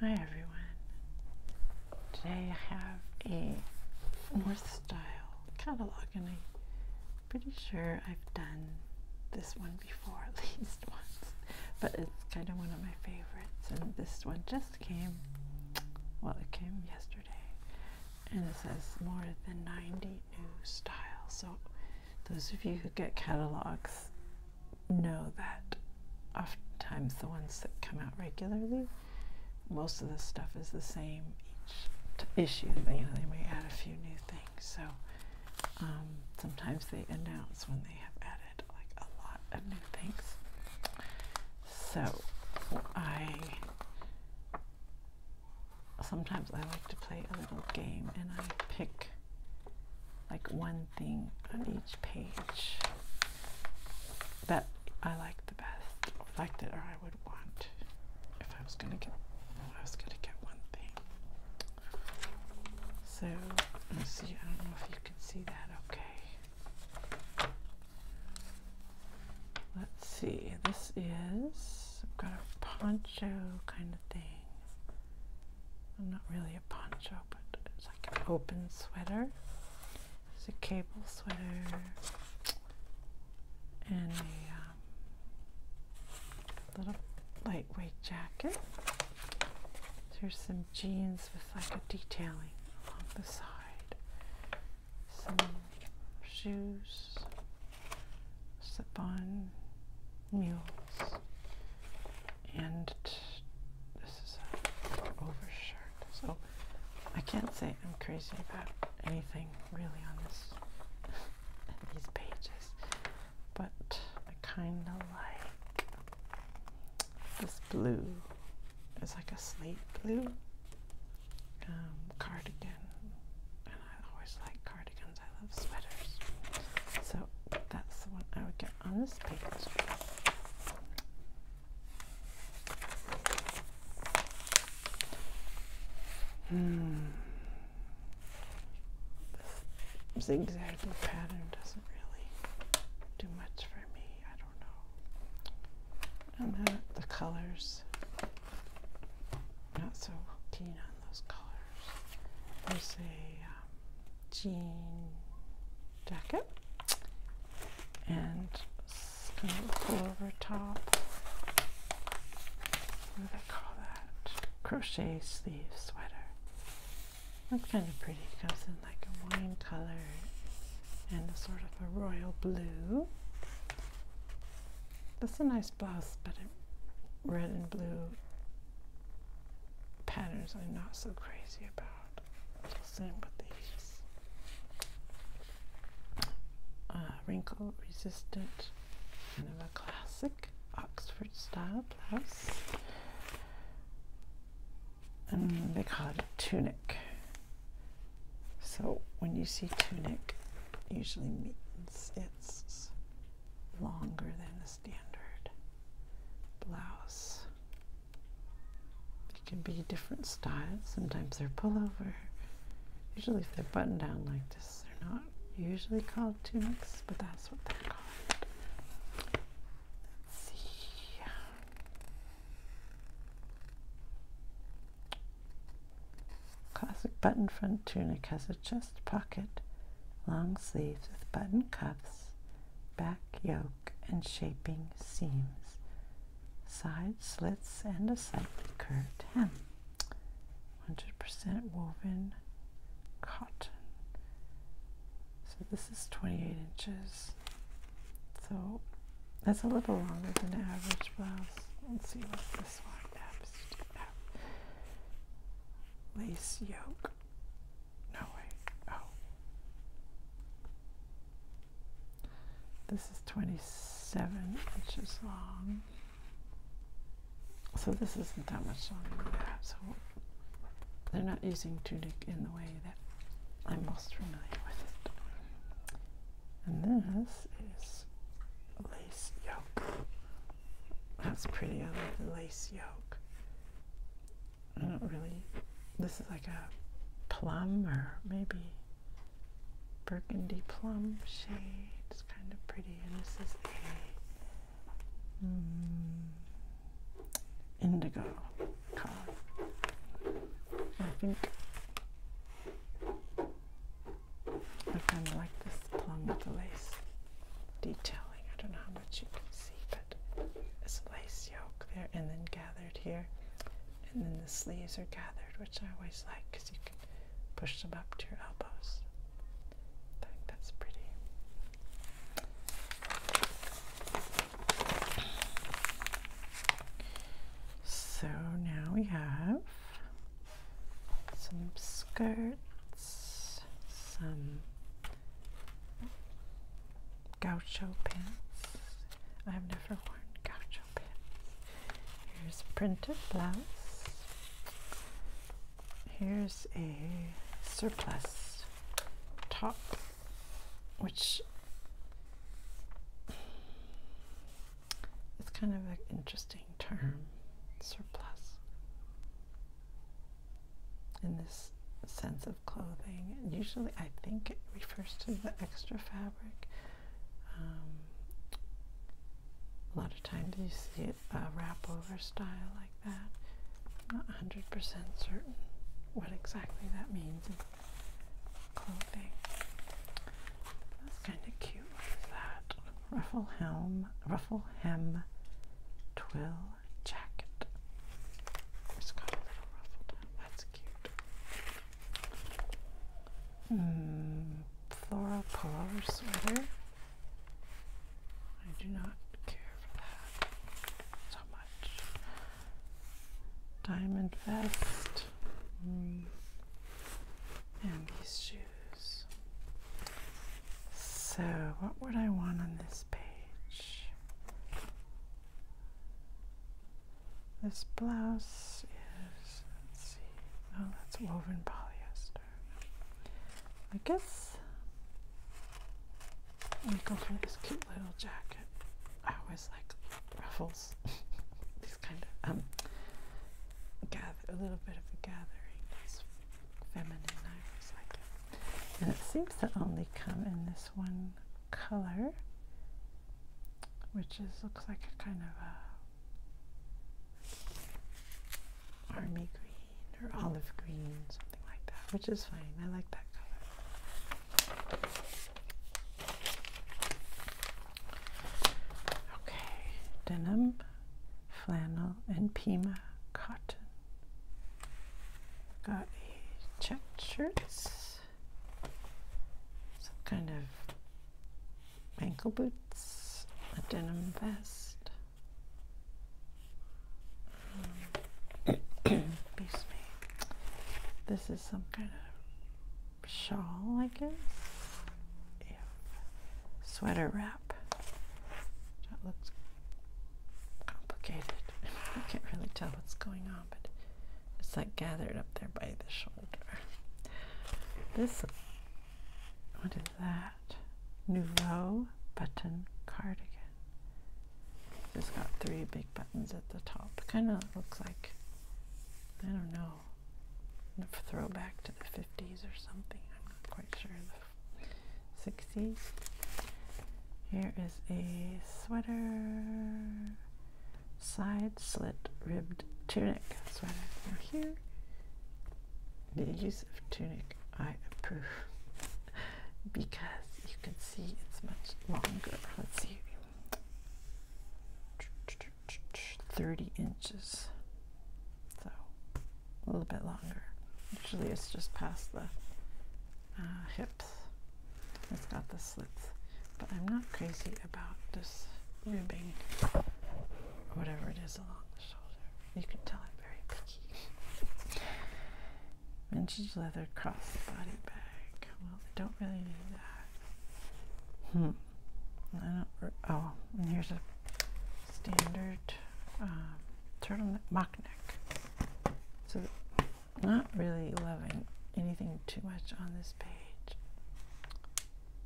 Hi everyone. Today I have a North Style catalog and I'm pretty sure I've done this one before at least once. But it's kind of one of my favorites and this one just came, well it came yesterday and it says more than 90 new styles. So those of you who get catalogs know that oftentimes the ones that come out regularly, most of the stuff is the same each issue. They, you know, they may add a few new things. So um, sometimes they announce when they have added like a lot of new things. So I sometimes I like to play a little game and I pick like one thing on each page that I like the best, or liked it, or I would want if I was gonna get, I was gonna get one thing. So let's see. I don't know if you can see that. Okay. Let's see. This is I've got a poncho kind of thing well, not really a poncho, but it's like an open sweater. It's a cable sweater and a um, little lightweight jacket. There's some jeans with like a detailing along the side, some shoes, slip on mules, and this is a overshirt, so I can't say I'm crazy about anything really on this these pages, but I kind of like this blue. It's like a slate blue um, cardigan, and I always like cardigans. I love sweaters, so that's the one I would get on this page. Hmm. This zigzag pattern doesn't really do much for me. I don't know. And then the colors. Not so keen on those colors. There's a uh, jean jacket and kind a pullover top. What do they call that? Crochet sleeve sweater. Looks kind of pretty. It comes in like a wine color and a sort of a royal blue. That's a nice blouse, but red and blue patterns I'm not so crazy about. Same with these. Uh, wrinkle resistant, kind of a classic Oxford style blouse. And they call it a tunic. So when you see tunic, usually means it's longer than a standard blouse. It can be different styles. Sometimes they're pullover. Usually if they're buttoned down like this, they're not usually called tunics, but that's what they're called. Let's see. Classic button front tunic has a chest pocket, long sleeves with button cuffs, back yoke and shaping seams, side slits, and a slightly curved hem. 100% woven cotton. So this is 28 inches. So that's a little longer than average blouse. Let's see what this one happens to have. Lace yoke. No, wait. Oh. This is 27 inches long. So this isn't that much longer than that. So they're not using tunic in the way that I'm most familiar with it. And this is lace yoke. That's pretty. I the lace yoke. I don't really. This is like a plum or maybe burgundy plum shade. It's kind of pretty, and this is a mm, indigo color. I think I kind of like this plum with the lace detailing. I don't know how much you can see, but this lace yoke there and then gathered here. And then the sleeves are gathered, which I always like because you can push them up to your elbows. I think that's pretty. So now we have some skirts, some Gaucho pants. I've never worn gaucho pants. Here's a printed blouse. Here's a surplus top, which is kind of an interesting term. Mm-hmm. Surplus in this sense of clothing. And usually, I think it refers to the extra fabric. Um, a lot of times, you see it uh, wrap over style like that. I'm 100% certain what exactly that means in clothing. That's kind of cute. What is that? Ruffle hem, ruffle hem twill jacket. It's got a little ruffle down. That's cute. Hmm, floral pullover sweater. I do not care for that so much. Diamond vest. Hmm, and these shoes. So, what would I want on this page? This blouse is, let's see, oh, that's woven polyester. I guess we go for this cute little jacket. I always like ruffles, these kind of, um, gather, a little bit of a gathering feminine iris like And it seems to only come in this one color, which is looks like a kind of a army green or olive green, something like that, which is fine. I like that color. Okay, denim flannel and Pima cotton. Got a check shirt. some kind of ankle boots, a denim vest. Um, excuse me. This is some kind of shawl, I guess. Sweater wrap. That looks complicated. I can't really tell what's going on, but it's like gathered up there by the shoulder. This, what is that? Nouveau button cardigan. It's got three big buttons at the top. Kind of looks like, I don't know, a throwback to the 50s or something. I'm not quite sure. 60s. Here is a sweater, side slit ribbed tunic sweater. Now here, the use of tunic I approve because you can see it's much longer. Let's see, 30 inches so a little bit longer. Usually it's just past the uh, hips. It's got the slits, but I'm not crazy about this ribbing, whatever it is along the shoulder. You can tell I'm very picky. Vintage leather cross body bag. Well, I don't really need that. Hmm. I don't. Oh, and here's a standard um, turtleneck mock neck. So not really loving anything too much on this page.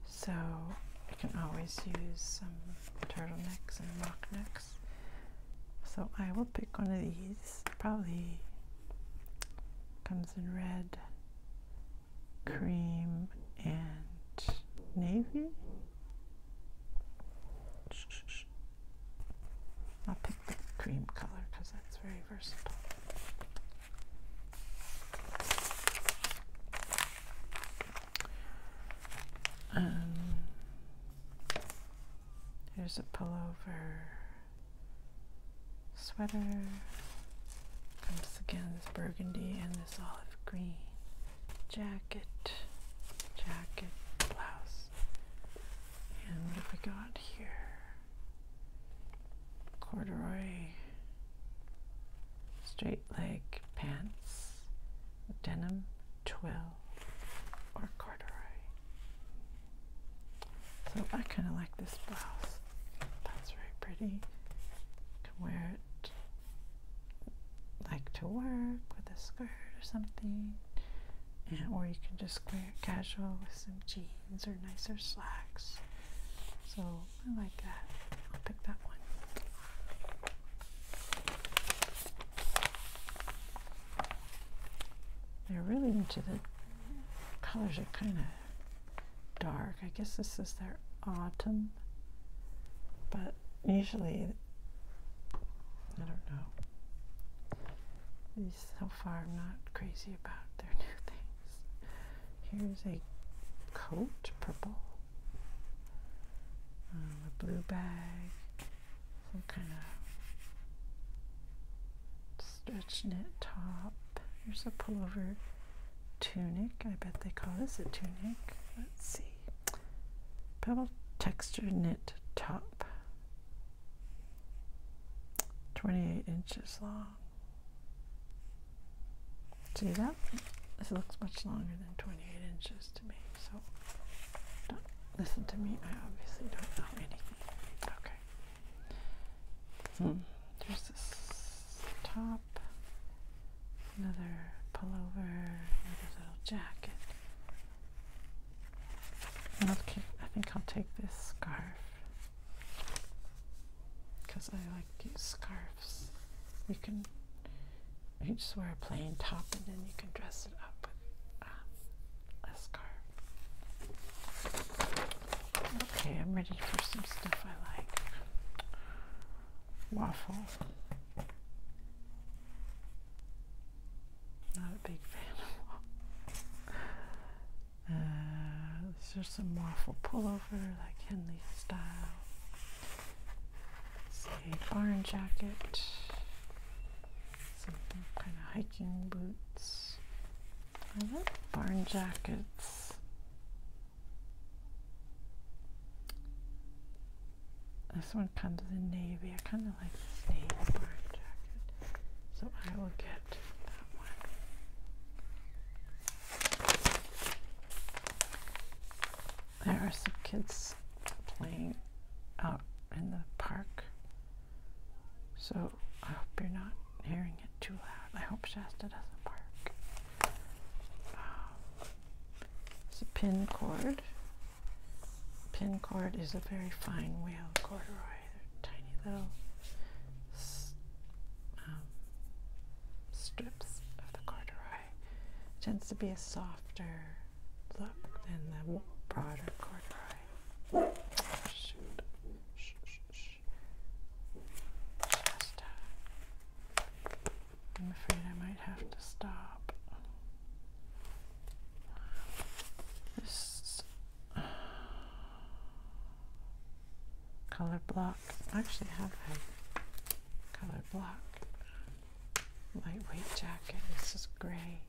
So I can always use some turtlenecks and mock necks. So I will pick one of these. Probably comes in red, cream, and navy. I'll pick the cream color because that's very versatile. Um, here's a pullover sweater. Comes again this burgundy and this olive green jacket, jacket, blouse. And what have we got here? Corduroy, straight leg pants, denim, twill, or corduroy. So I kind of like this blouse. That's very pretty. can wear it like to work with a skirt or something, and, or you can just wear casual with some jeans or nicer slacks. So I like that. I'll pick that one. They're really into the colors are kind of dark. I guess this is their autumn but usually, I don't know. So far, I'm not crazy about their new things. Here's a coat, purple. Um, a blue bag. Some kind of stretch knit top. Here's a pullover tunic. I bet they call this a tunic. Let's see. Pebble texture knit top. 28 inches long. See that? This looks much longer than 28 inches to me. So listen to me. I obviously don't know anything. Okay. Hmm. There's this top, another pullover, another little jacket. And i think I'll take this scarf because I like these scarves. You can you just wear a plain top and then you can dress it up with um, a scarf. Okay, I'm ready for some stuff I like waffle. Not a big fan of waffle. Uh, some waffle pullover, like Henley style. It's barn jacket. Some kind of hiking boots. I love barn jackets. This one comes in navy. I kind of like navy barn jacket. So I will get that one. There are some kids playing out in the park. So I hope you're not hearing it too loud. I hope Shasta doesn't bark. Um, it's a pin cord. Pin cord is a very fine whale corduroy. tiny little um, strips of the corduroy. It tends to be a softer look than the broader corduroy. I'm afraid I might have to stop. This color block. I actually have a color block lightweight jacket. This is gray,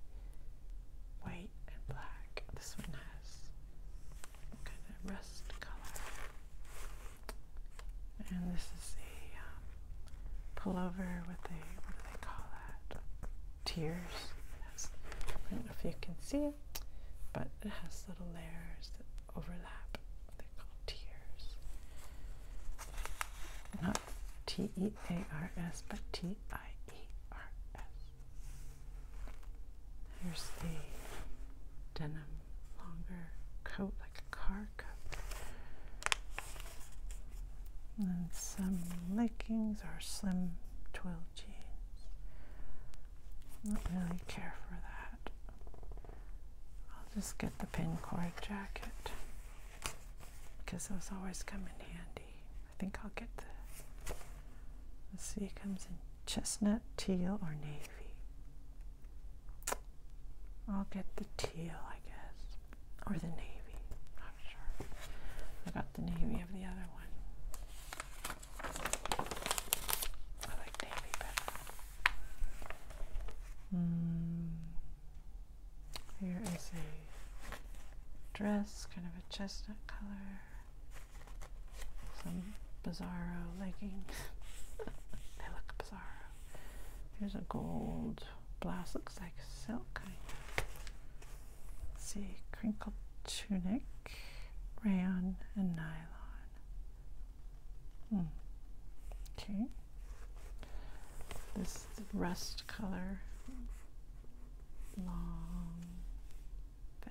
white, and black. This one has kind of a rust color. And this is a um, pullover with a, what do they call that? Tears. I don't know if you can see it, but it has little layers that overlap. They're called tears. Not T E A R S, but T I E R S. Here's the denim longer coat, like car coat. And some leggings or slim twill jeans. Not really care for that. I'll just get the pin cord jacket because those always come in handy. I think I'll get the. see, it comes in chestnut, teal, or navy. I'll get the teal, I guess, or the navy. Not sure. I got the navy of the other one. I like navy better. Hmm. Here is a dress, kind of a chestnut color. Some bizarro leggings. they look Bizarro. Here's a gold blouse. Looks like silk. see, crinkled tunic, rayon, and nylon. Mm. Okay. This rust color long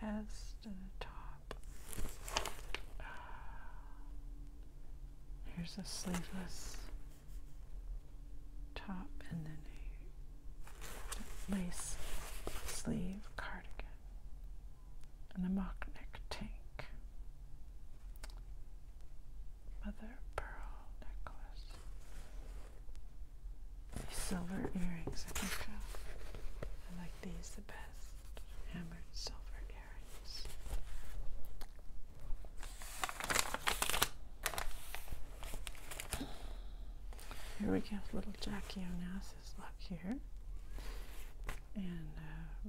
vest and a top. Uh, here's a sleeveless top and then a lace sleeve cardigan and a mock neck tank. Mother pearl necklace. Silver earrings, I think. I like these the best. Hammered silver earrings. Here we go, little Jackie Onassis luck here. And uh,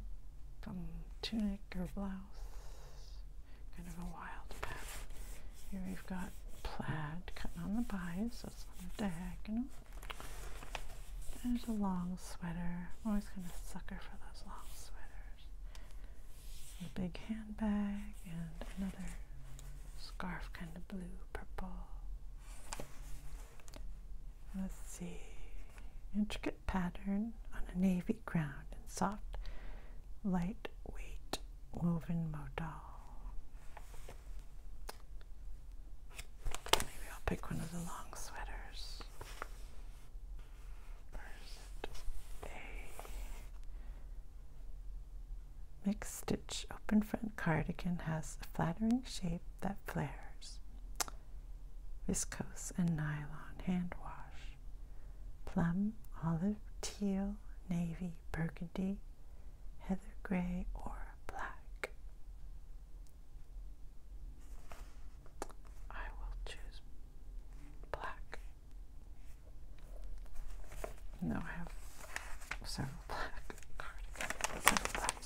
some tunic or blouse, kind of a wild pattern. Here we've got plaid cutting on the bias, that's on the diagonal. There's a long sweater. I'm always kind of sucker for those long sweaters. A big handbag and another scarf, kind of blue, purple. Let's see. Intricate pattern on a navy ground in soft, lightweight woven modal. Maybe I'll pick one of the long sweaters. Where is A mixed stitch open front cardigan has a flattering shape that flares. Viscose and nylon hand wash. Plum, olive, teal, navy, burgundy, heather gray, or black. I will choose black. No, I have several black cardigans, several black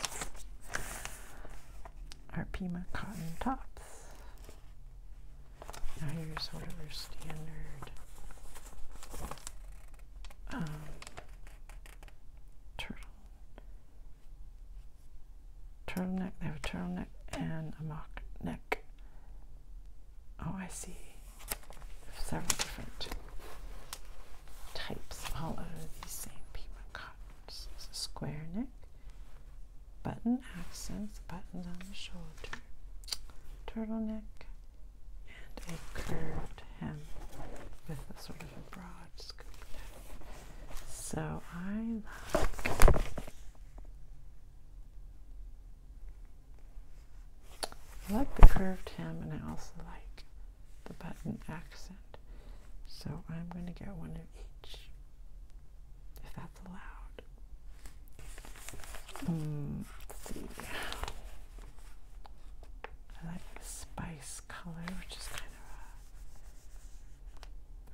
Our cotton tops. Now here's sort of your standard um, turtle turtleneck, they have a turtleneck and a mock neck. Oh, I see several different types all of these same Pima cottons. This is square neck, button accents, buttons on the shoulder, turtleneck, and a curved hem with a sort of so I like the curved hem and I also like the button accent. So I'm going to get one of each, if that's allowed. Hmm, let's see. I like the spider color, which is kind of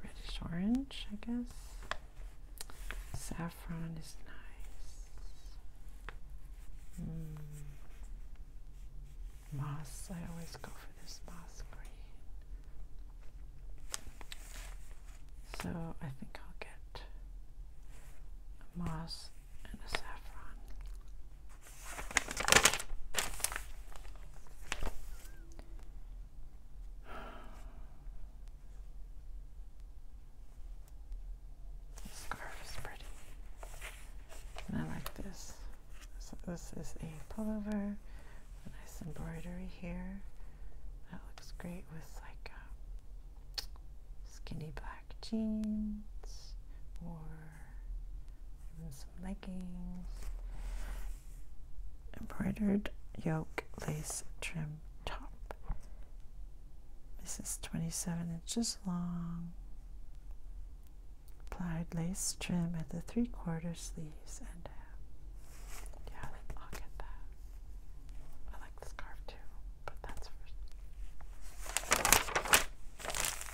a reddish orange, I guess. Saffron is nice. Mm. Moss, I always go for this moss So I think I'll get a moss and a saffron. This scarf is pretty. And I like this. So this is a pullover. nice embroidery here. That looks great with like uh, skinny black jeans or some leggings, embroidered yoke lace trim top. This is 27 inches long. Plaid lace trim at the three quarter sleeves and half. Yeah, I'll get that. I like the scarf too, but that's first.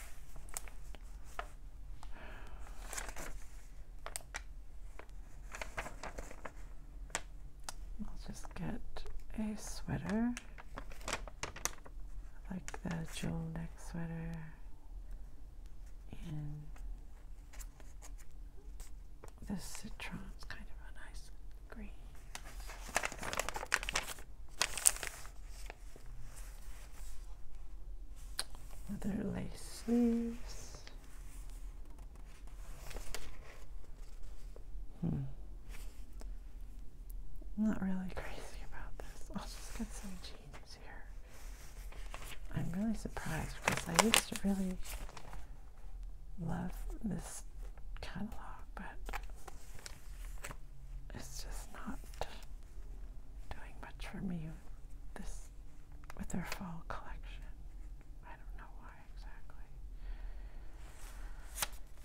I'll just get a sweater, I like the jewel neck sweater, and this citron's kind of a nice green. Another lace sleeves. Hmm. I'm not really crazy about this. I'll just get some jeans here. I'm really surprised because I used to really love this catalog, but it's just not doing much for me this with their fall collection. I don't know why exactly.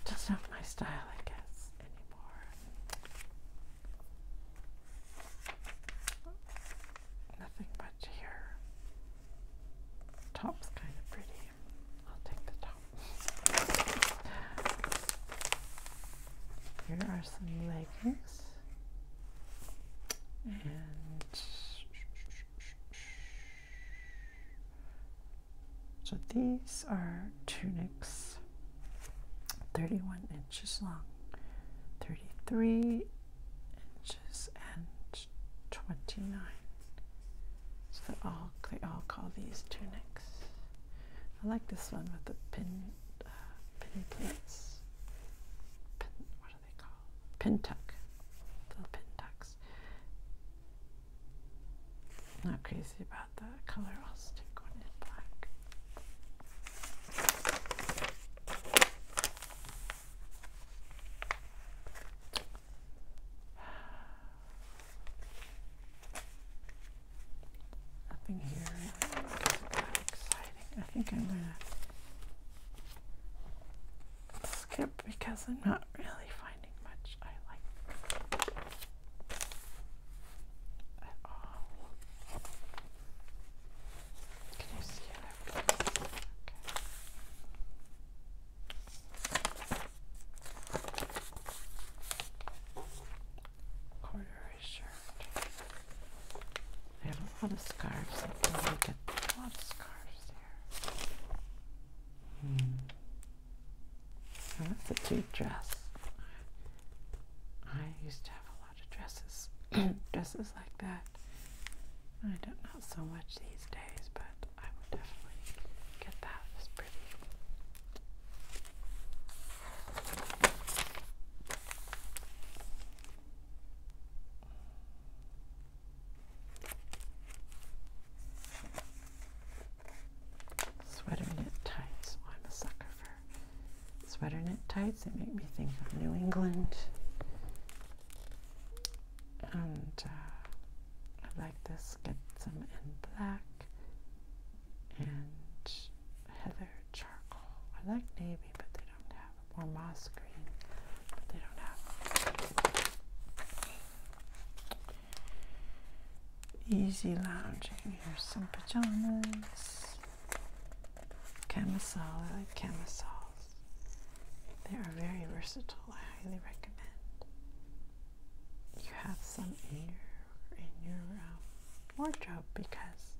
Just not my style, I guess, anymore. Nothing much here. Top's kind of pretty. I'll take the top. Here are some leggings. And so these are tunics, 31 inches long, 33 inches, and 29. So all, they all call these tunics. I like this one with the pin, uh, pin plates. what are they called? Pin tuck. The pin tucks. Not crazy about the color. I'll stick one in black up in here. Exciting. I think I'm gonna skip because I'm not really finding much I like at all. Can you see it? Okay. Corduroy shirt. I have a lot of scarves. I can look at a lot of scarves here. Hmm. that's a cheap dress. I used to have a lot of dresses, dresses like that. I don't know so much these days, but I would definitely get that. Sweater knit tights. Oh, I'm a sucker for sweater knit tights. They make me think of New England. And uh, I like this. Get some in black and heather charcoal. I like navy, but they don't have more moss green, but they don't have Easy lounging. Here's some pajamas. Camisole. I like camisoles. They are very versatile. I highly recommend. You have some in your in your uh, wardrobe because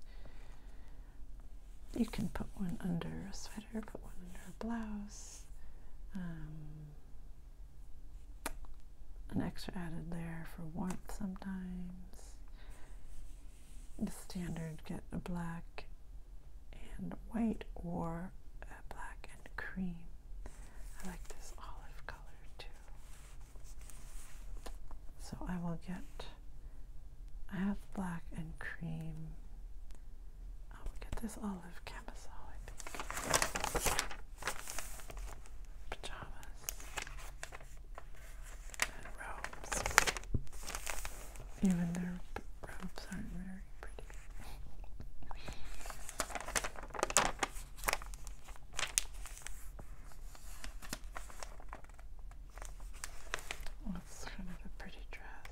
you can put one under a sweater, put one under a blouse. Um, an extra added there for warmth sometimes. The standard get a black and white or a black and cream I like this olive color too. So I will get, I have black and cream. I will get this olive camisole, I think. Pajamas and robes. Even their robes aren't very pretty. That's kind of a pretty dress.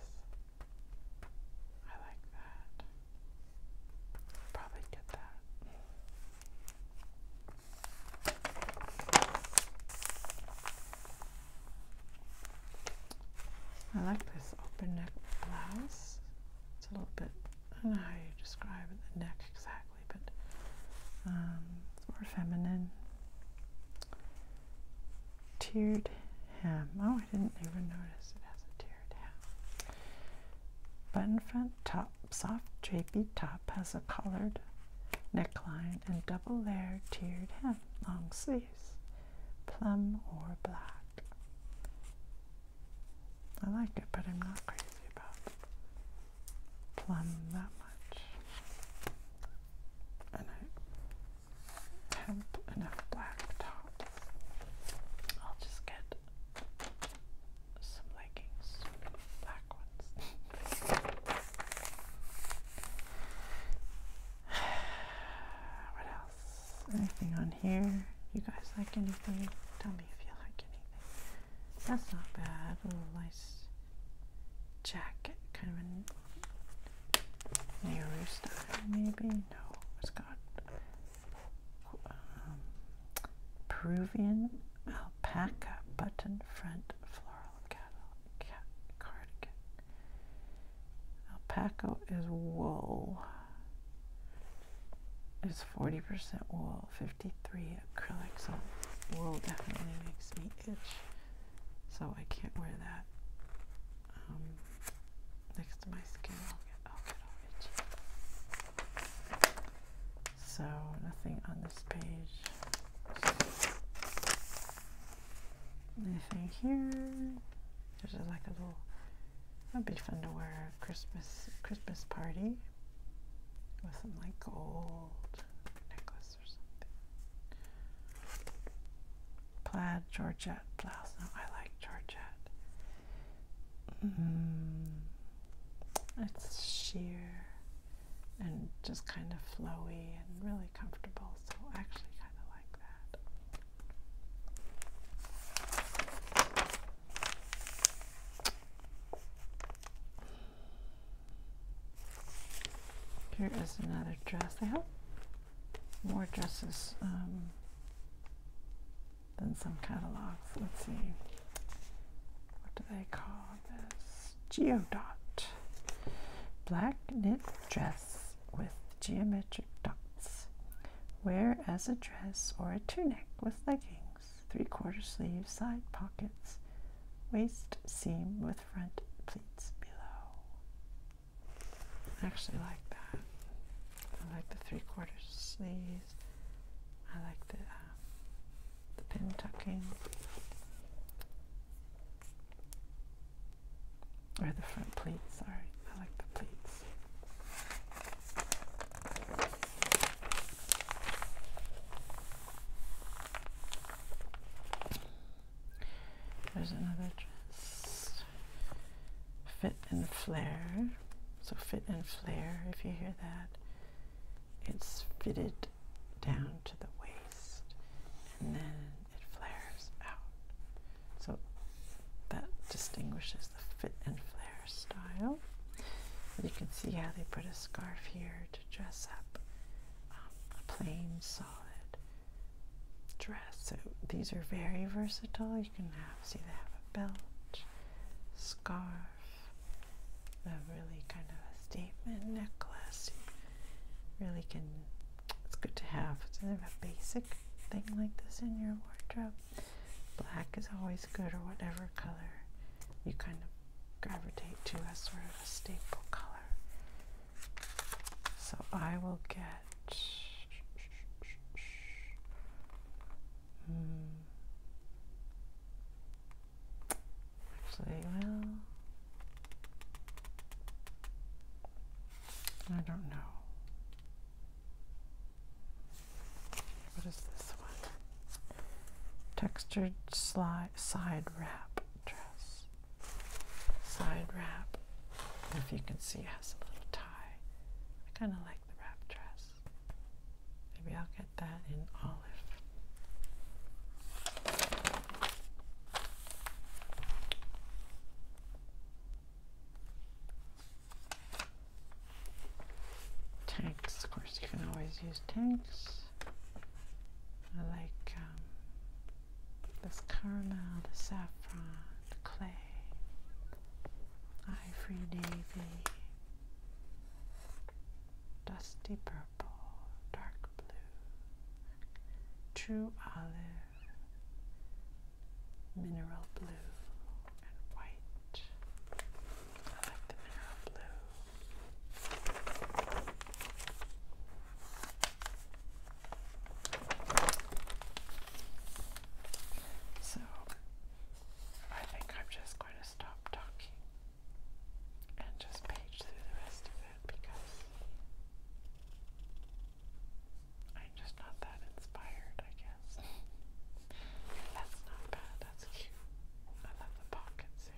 I like that. Probably get that. I like this open neck blouse. It's a little bit I don't know how you describe it, the neck exactly, but um, it's more feminine. Tiered hem. Oh, I didn't even notice it has a tiered hem. Button front top, soft drapey top has a colored neckline and double layered tiered hem, long sleeves, plum or black. I like it, but I'm not crazy about plum that much. And I have enough black tops. I'll just get some leggings, black ones. what else? Anything on here. You guys like anything? Tell me if you like anything. That's not bad. A little nice jacket, kind of a New Nehru style, maybe. No, it's got um, Peruvian alpaca button front floral cardigan. Alpaca is wool. It's 40% wool, 53 acrylic, so wool definitely makes me itch. So I can't wear that um, next to my skin. I'll get, I'll get itchy. So nothing on this page. Anything here? There's like a little, that'd be fun to wear Christmas Christmas party with some like gold necklace or something. Plaid Georgette blouse. No, I like Georgette. Mm, it's sheer and just kind of flowy and really comfortable. So actually kind of like that. Here is another dress. I have more dresses um, than some catalogs. Let's see. What do they call this? Geodot. Black knit dress with geometric dots. Wear as a dress or a tunic with leggings, three quarter sleeves, side pockets, waist seam with front pleats below. I actually like that. I like the three quarter sleeves. I like the, uh, the pin tucking. Or the front pleats, sorry. I like the pleats. There's another dress. Fit and flare. So fit and flare, if you hear that, it's fitted down to the waist and then it flares out. So that distinguishes fit and flare style. You can see how they put a scarf here to dress up um, a plain, solid dress. So these are very versatile. You can see, they have a belt, scarf, a really kind of a statement necklace. really can, it's good to have. To have a basic thing like this in your wardrobe black is always good, or whatever color you kind of gravitate to as sort of a staple color. So I will get. Hmm, actually, well, I don't know. What is this one? Textured side wrap dress. Side wrap. If you can see, it has a little tie. I kind of like the wrap dress. Maybe I'll get that in olive. Tanks, of course, you can always use tanks. I like um, this caramel, the saffron, the clay, ivory navy, dusty purple, dark blue, true olive, mineral blue and white. I like the mineral blue. So I think I'm just going to stop talking and just page through the rest of it because I'm just not that inspired, I guess. That's not bad, that's cute. I love the pockets here